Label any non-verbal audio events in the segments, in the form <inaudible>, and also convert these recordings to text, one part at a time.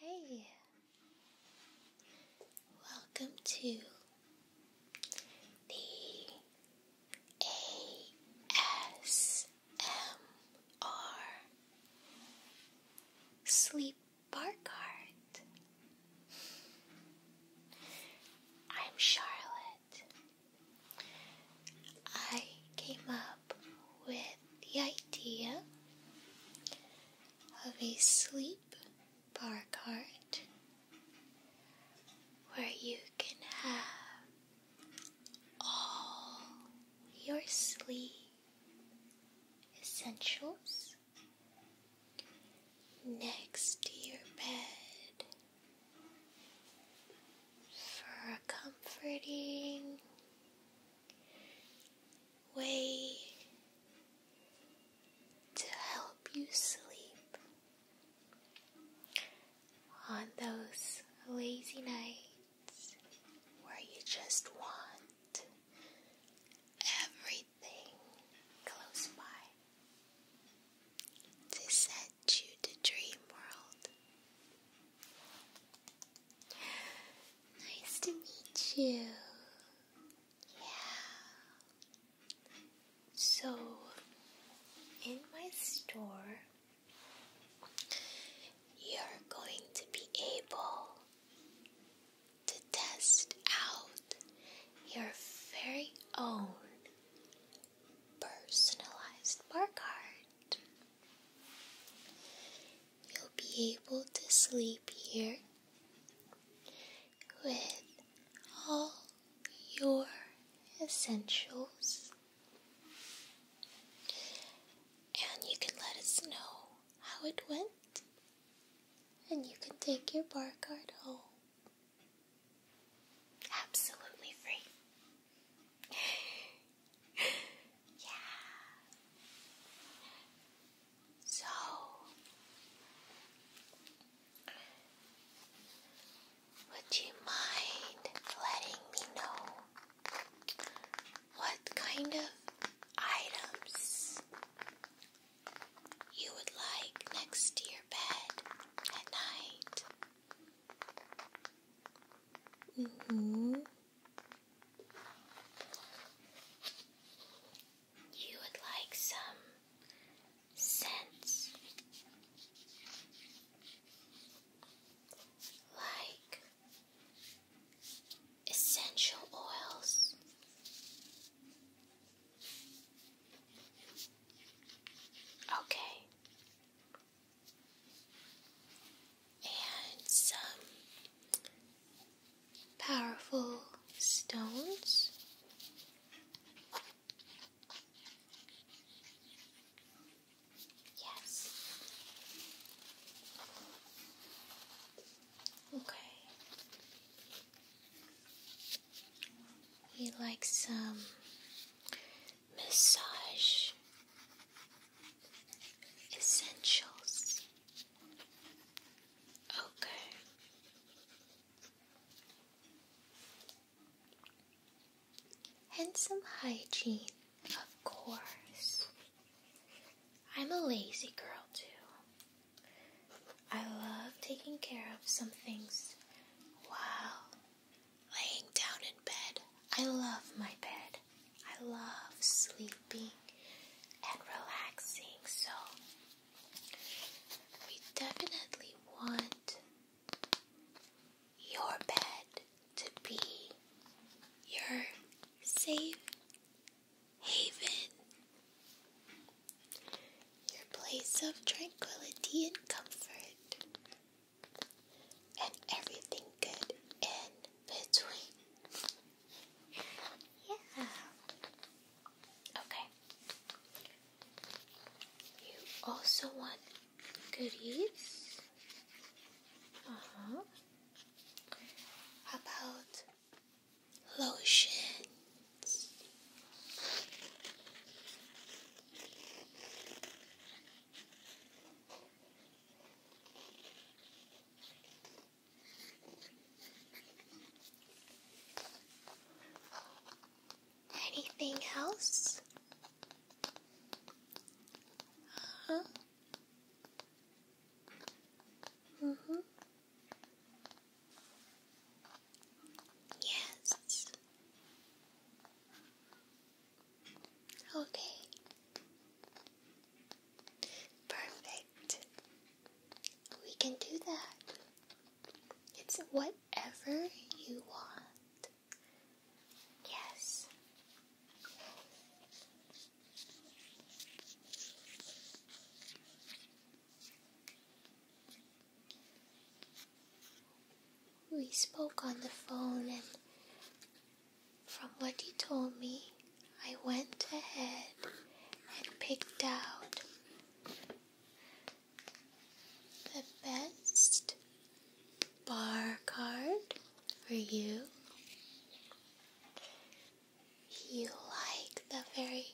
Hi, welcome to the ASMR Sleep Bar I'm Charlotte. I came up with the idea of a sleep bar cart where you can have all your sleep essentials next to your bed for comforting way to help you sleep on those lazy nights where you just want everything close by to send you to dream world. Nice to meet you. Yeah. So, in my store, you're going to be able to test out your very own personalized bar card. You'll be able to sleep here with all your essentials. And you can let us know how it went. And you can take your bar card home. Absolutely free. <laughs> <laughs> yeah. So would you mind letting me know what kind of items you would like next to your bed at night? Mm hmm. You would like some scents like essential oils. Okay and some powerful stones. Yes. Okay. We like some massage Essentials. Okay. And some hygiene, of course. I'm a lazy girl, too. I love taking care of some things while laying down in bed. I love my bed. I love sleeping and relaxing, so we definitely want your bed to be your safe haven, your place of tranquility and comfort, and everything good in between. yeah. Okay. You also want goodies? Uh uh-huh. huh. about lotions? Anything else? Huh? Mm hmm Yes. Okay. Perfect. We can do that. It's whatever you want. Yes. We spoke on the phone and from what you told me, I went ahead and picked out the best bar card for you. You like the very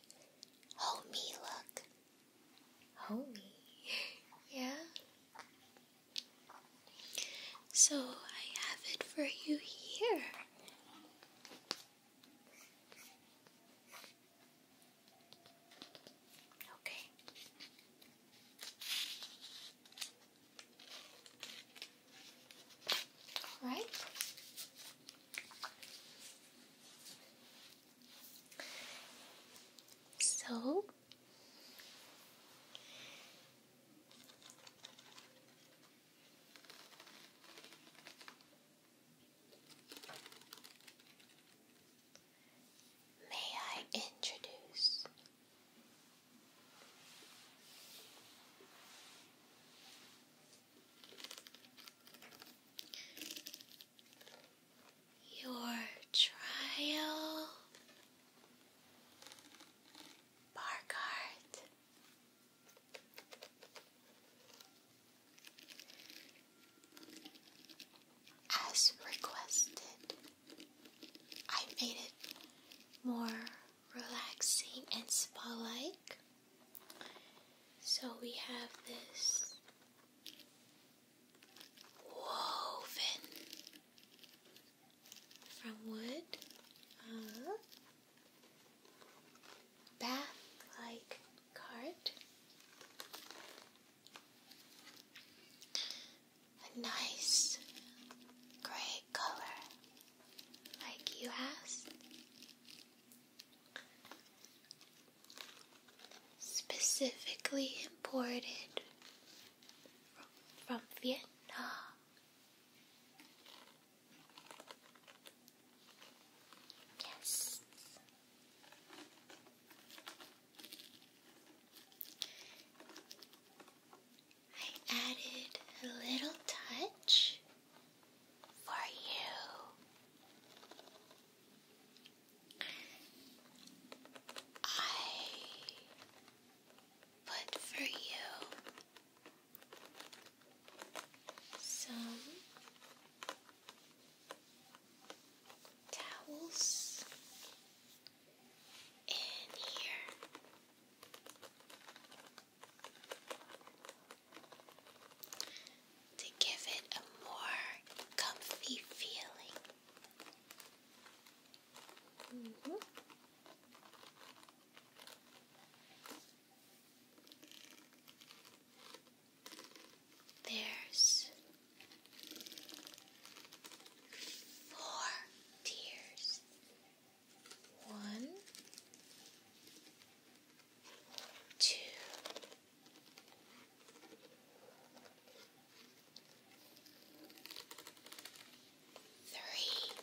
homey look. Homey? <laughs> yeah? So I have it for you here. Okay. All right. So May I introduce your trial Barkart? As requested, I made it more relaxing and spa like. So we have this woven from wood. Uh-huh bath like cart, a nice gray color, like you asked. Specifically imported from, from Vietnam. Yes. I added a little touch for you. I put for you some towels in here. To give it a more comfy feeling. Mm-hmm. There's four tears. One, two, three,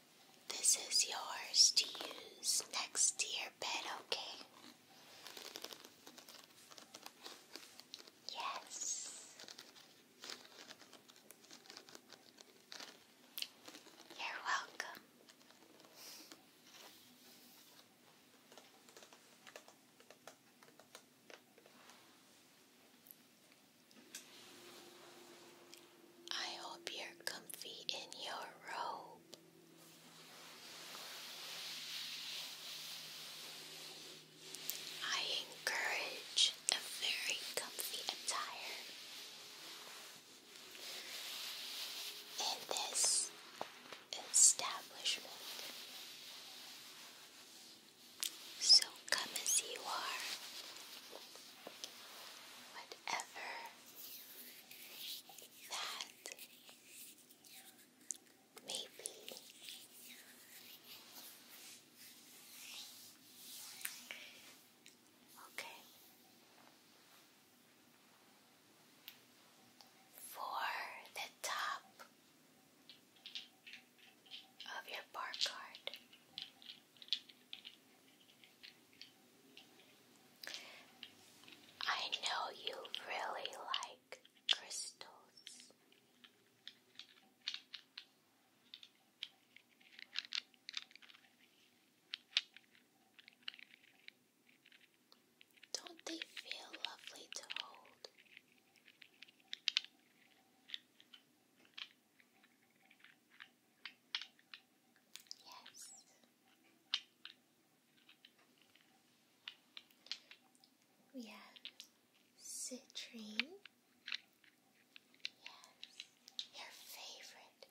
This is yours to use next to your bed, okay? Yes. You're welcome. I hope you're comfy in your robe. I encourage a very comfy attire. In this establishment. So come as you are, whatever that maybe okay for the top of your bar card. I know you really like crystals. Don't they feel lovely to hold? Yes. We have citrine. Yes, your favorite.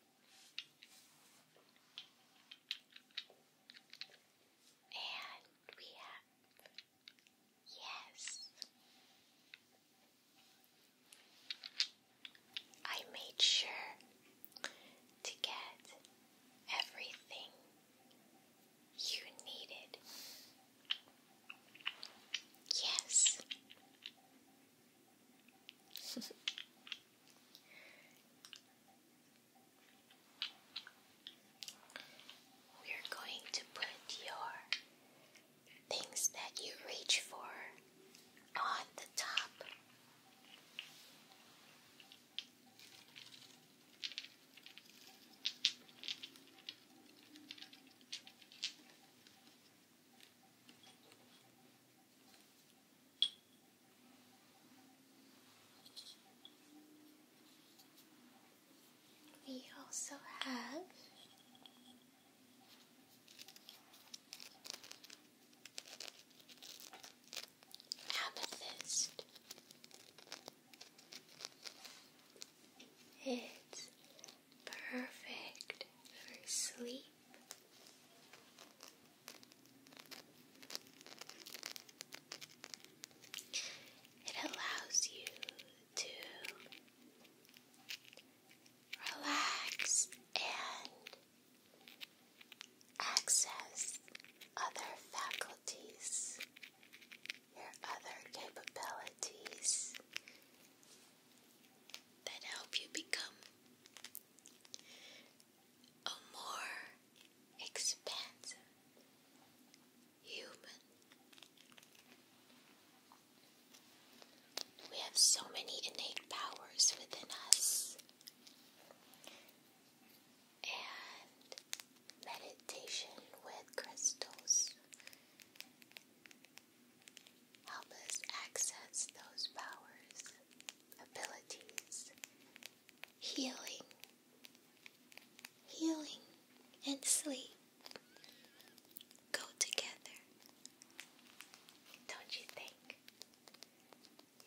And we have, yes, I made sure to get everything you needed. Yes. <laughs> We're going to put your things that you reach for on the top we also have amethyst. It's perfect for sleep. It allows you to relax and Access other faculties, your other capabilities that help you become a more expansive human. We have so many innate powers within us and meditation with crystals help access those powers, abilities, healing, healing, and sleep go together. Don't you think?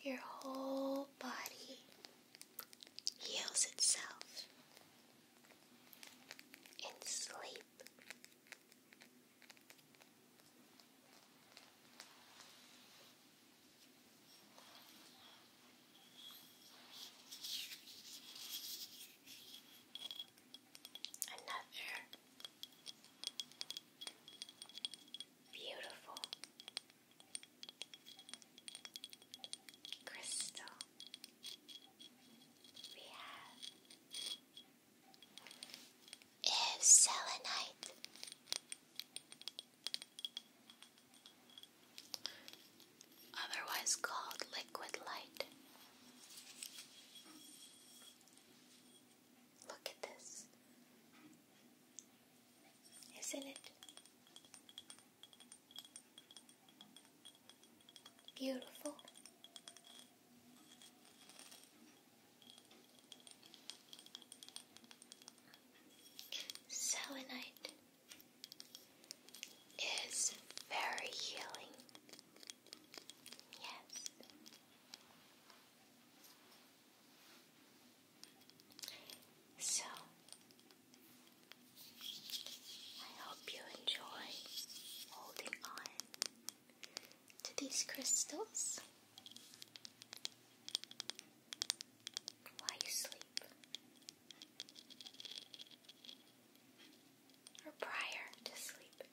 your whole body heals itself in sleep. Another beautiful Crystal. We have selenite. Otherwise called liquid light. Look at this isn't it? Beautiful. Selenite is very healing. Yes. So, I hope you enjoy holding on to these crystals while you sleep or prior to sleep.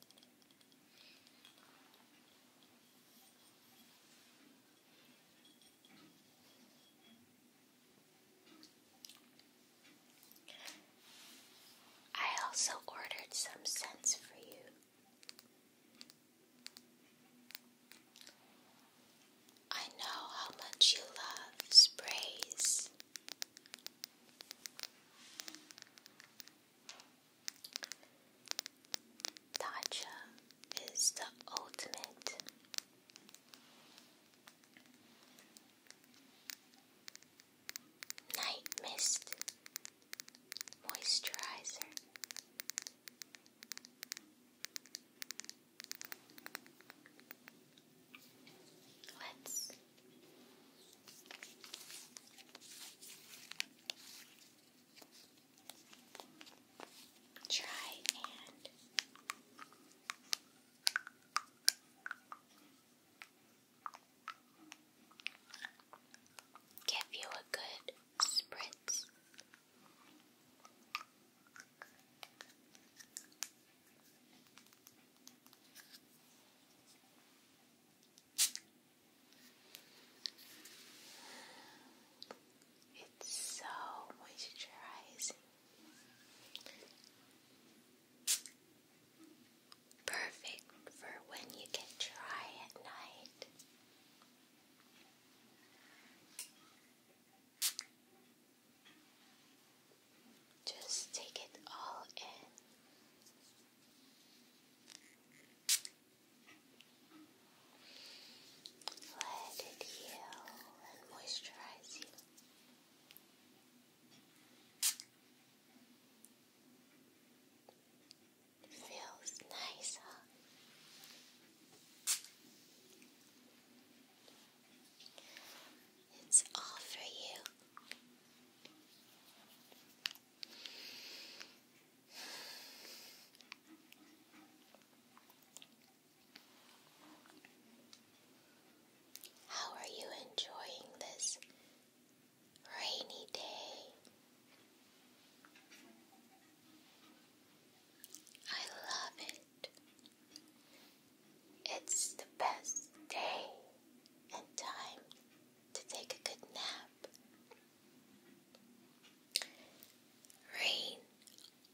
I also ordered some scents for you. I know how much you love sprays. Tatcha is the ultimate. Night Mist Moisturizer. Let's try and give you a good spritz. It's so moisturizing. Perfect for when you get dry at night. Just take it all in. Let it heal and moisturize you. feels nice, huh? It's all for you. How are you enjoying this rainy day? I love it. It's the best day and time to take a good nap. Rain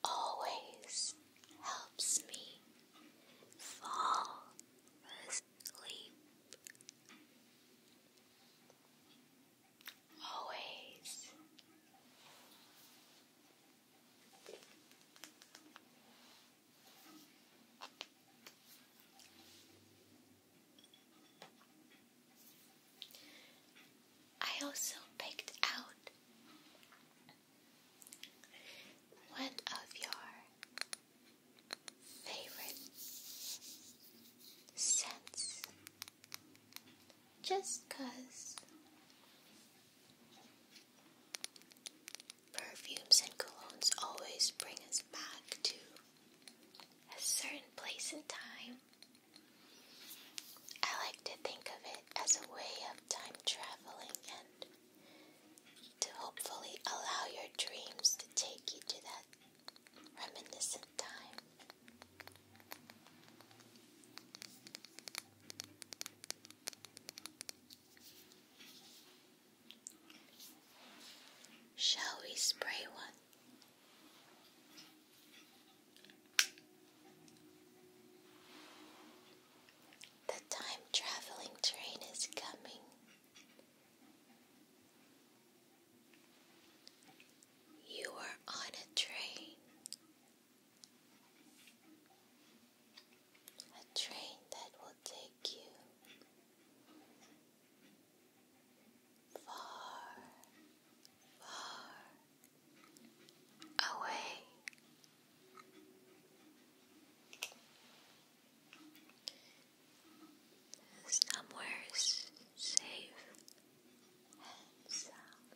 always helps me fall asleep. Always. I also picked out one of your favorite scents just cause perfumes and colognes always bring us back to a certain place in time I like to think of it as a way of time traveling and to hopefully allow your dreams to take you to that reminiscent time. Shall we spray one? The time traveling train is coming. You are on a train. A train that will take you far, far away. Somewhere safe and sound.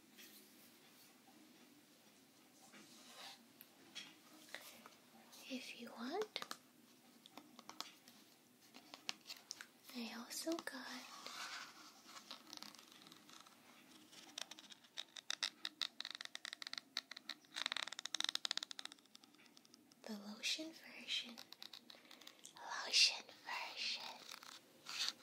If you want, I also got the lotion version, lotion version for you.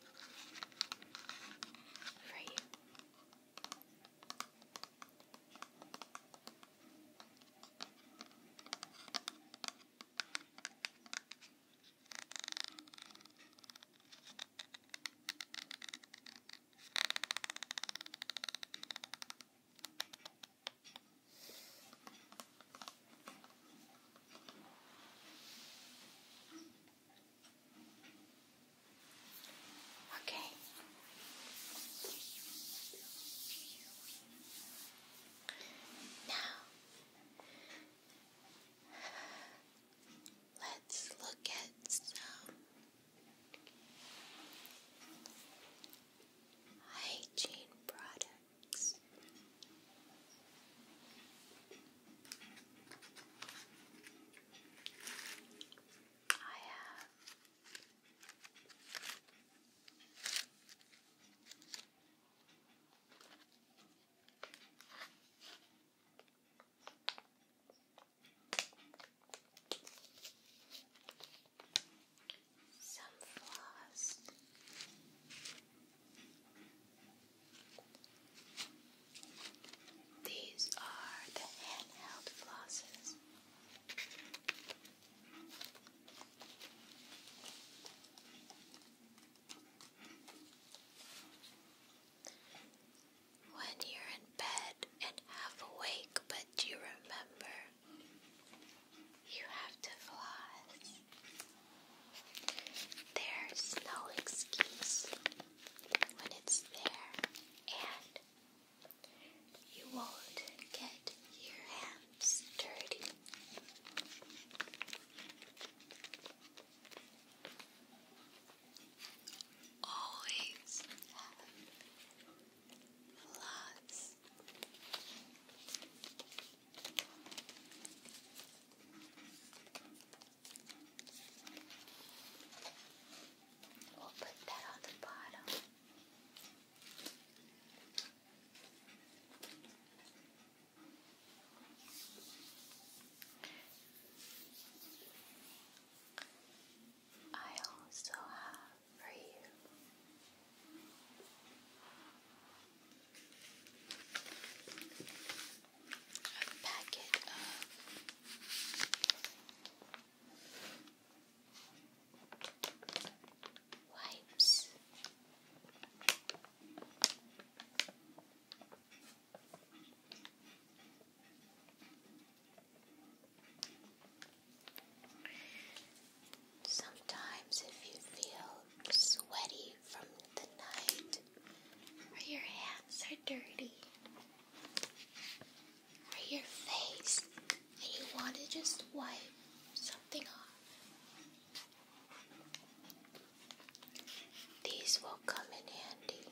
Okay. Now, let's look at some hygiene products. I have some floss. These are the handheld flosses. When you're in bed and half awake, but you remember you have to floss. There's no excuse when it's there, and you won't get your hands dirty. Always have lots. We'll put that on the bottom. I also have for you a packet of wipes. Sometimes, if you feel sweaty from the night, or your hands are dirty, or your face, and you want to just wipe something off, these will come in handy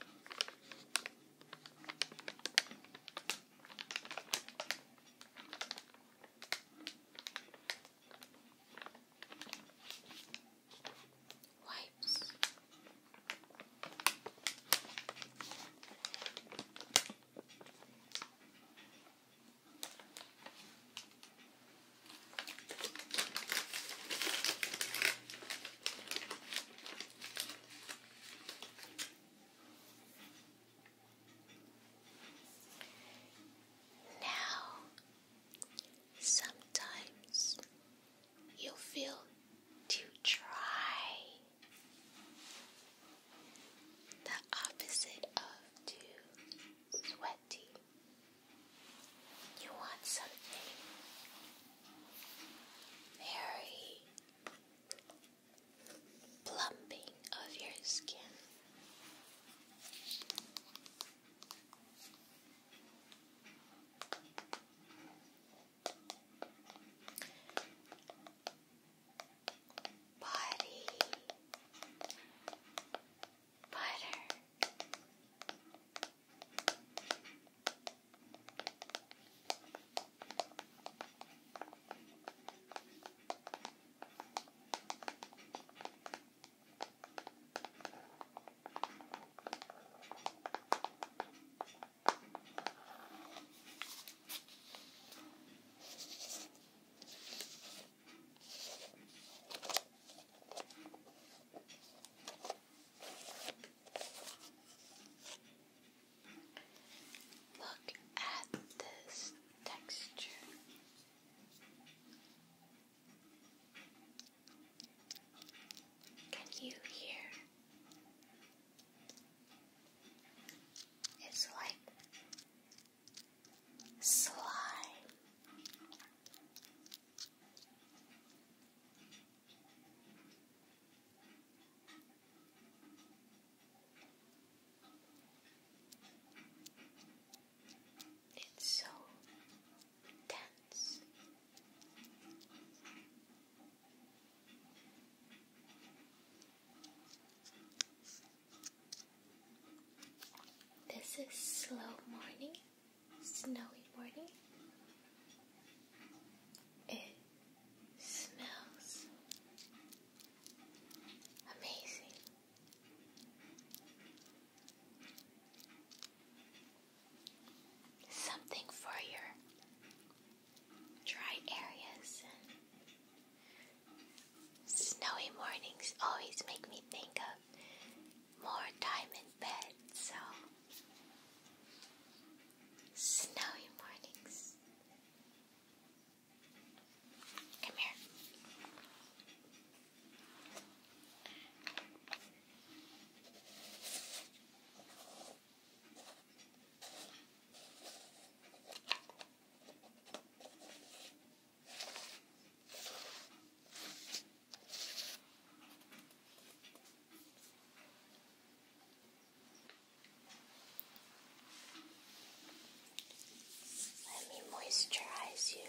wipes. Now Sometimes you feel too dry, the opposite of too sweaty. You want something very plumping of your skin. Body butter. Body Look at this texture. Can you hear? It's like slime. It's so this is slow morning, snowy morning. It smells amazing something for your dry areas and snowy mornings always make me think of more time in bed, so snowy mornings. Come here. Let me moisturize you.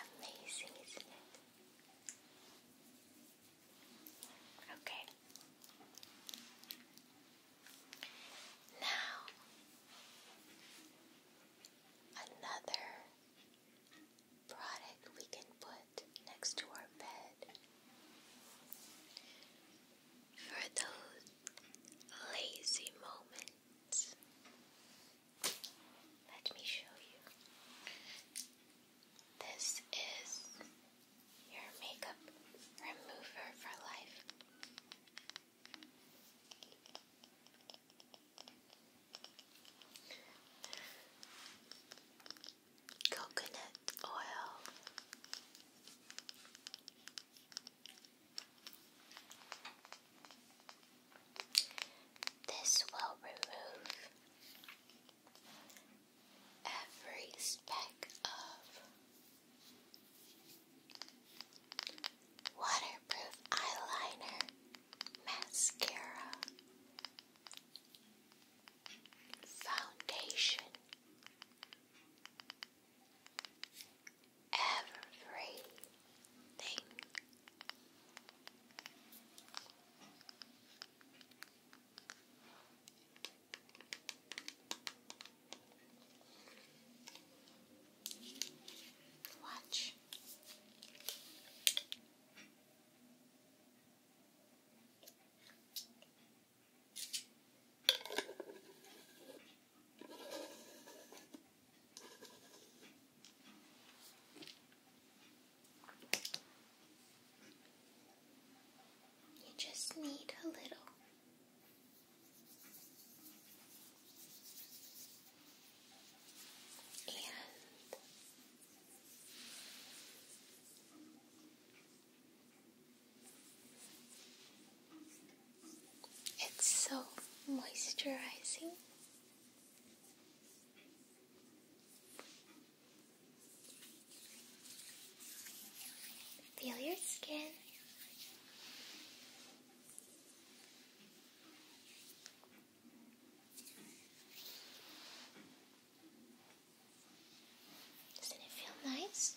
Amazing, isn't it? Okay. Now, another product we can put next to our bed for those lazy moments. Let me show you. This is your makeup remover for life. Coconut oil. This will remove every speck of waterproof eyeliner, mascara, foundation. Everything Watch. You just need a little. And it's so moisturizing. Feel your skin. Doesn't it feel nice?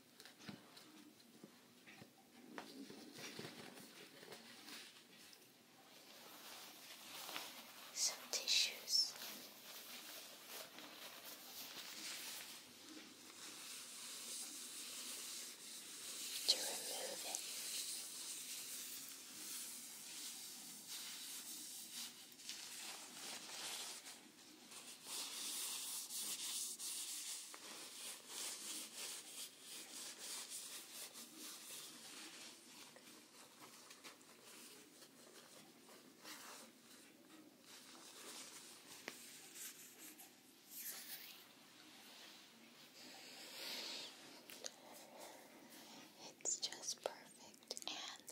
Some tissues. To remove it. It's just perfect, and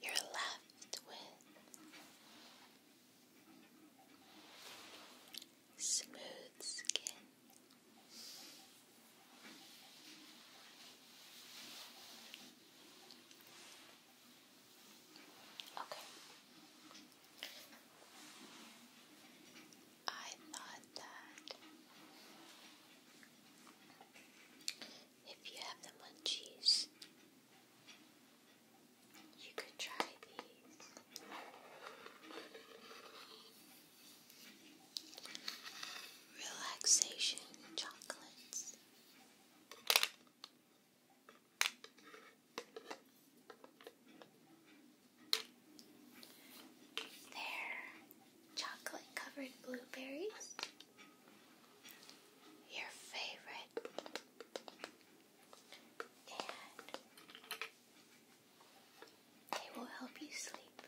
you're left with smooth skin. Okay. I thought that if you have the munchies, you could try these. Relaxation chocolates. they chocolate covered blueberries. Your favorite they will help you sleep.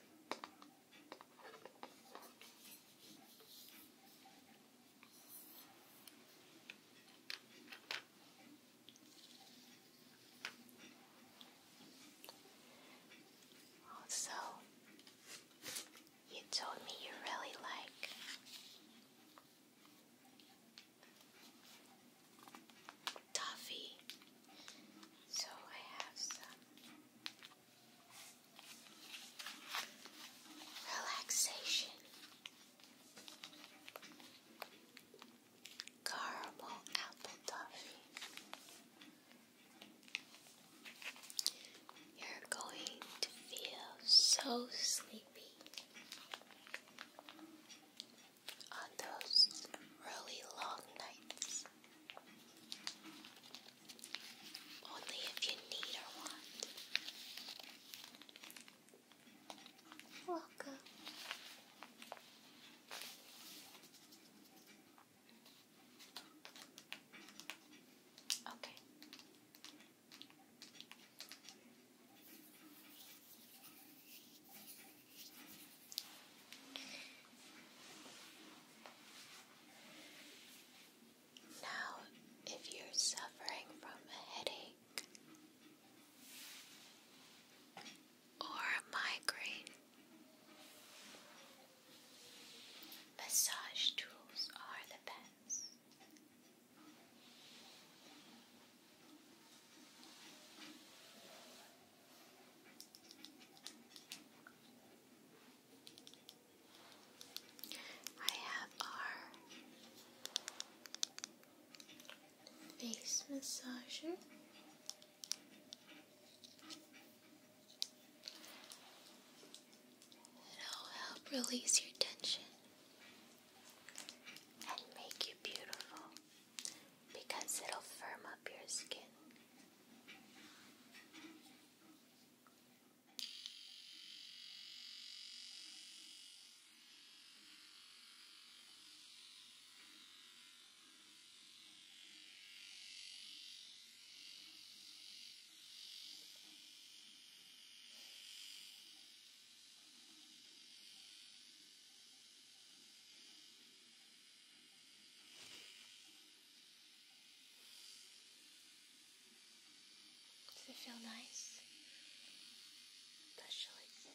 Also, you told me you really like toffee. So I have some relaxation, caramel apple toffee. You're going to feel so sleepy sleepy. On those really long nights, only if you need or want. Welcome. Okay, now, if you're suffering from a headache or a migraine, massage tools are the best. I have our face massager. It'll help release your tension and make you beautiful because it'll firm up your skin. Does it feel nice? Especially. Yeah.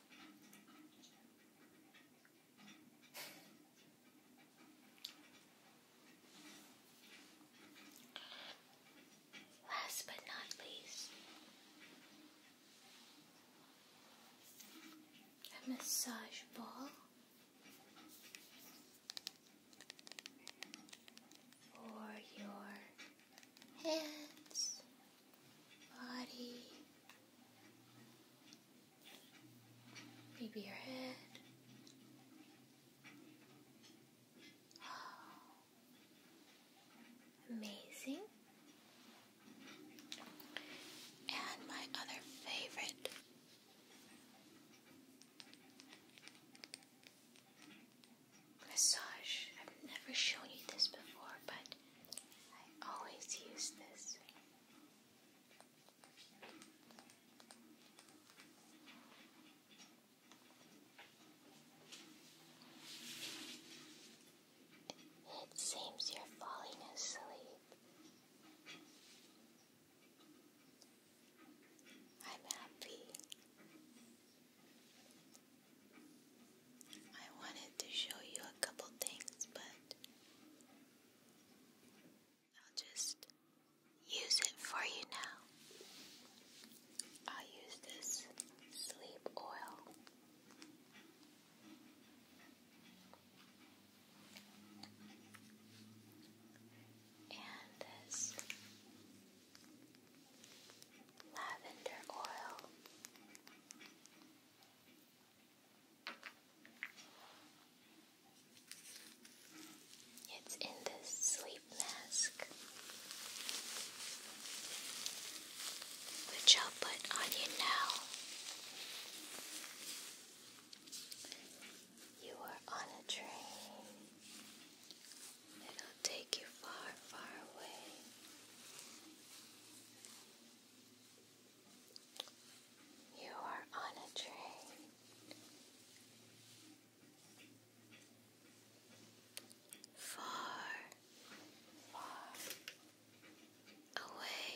Last but not least, a massage ball for your hands body, maybe your head. amazing. And my other favorite. Massage. I've never shown you this before, but I always use this. It seems you're falling asleep. I'm happy. I wanted to show you a couple things, but I'll just use it for you now. I'll use this sleep oil. And this lavender oil. It's in the sleep mask, which I'll put on you now. You are on a train. It'll take you far, far away. You are on a train. Far, far away.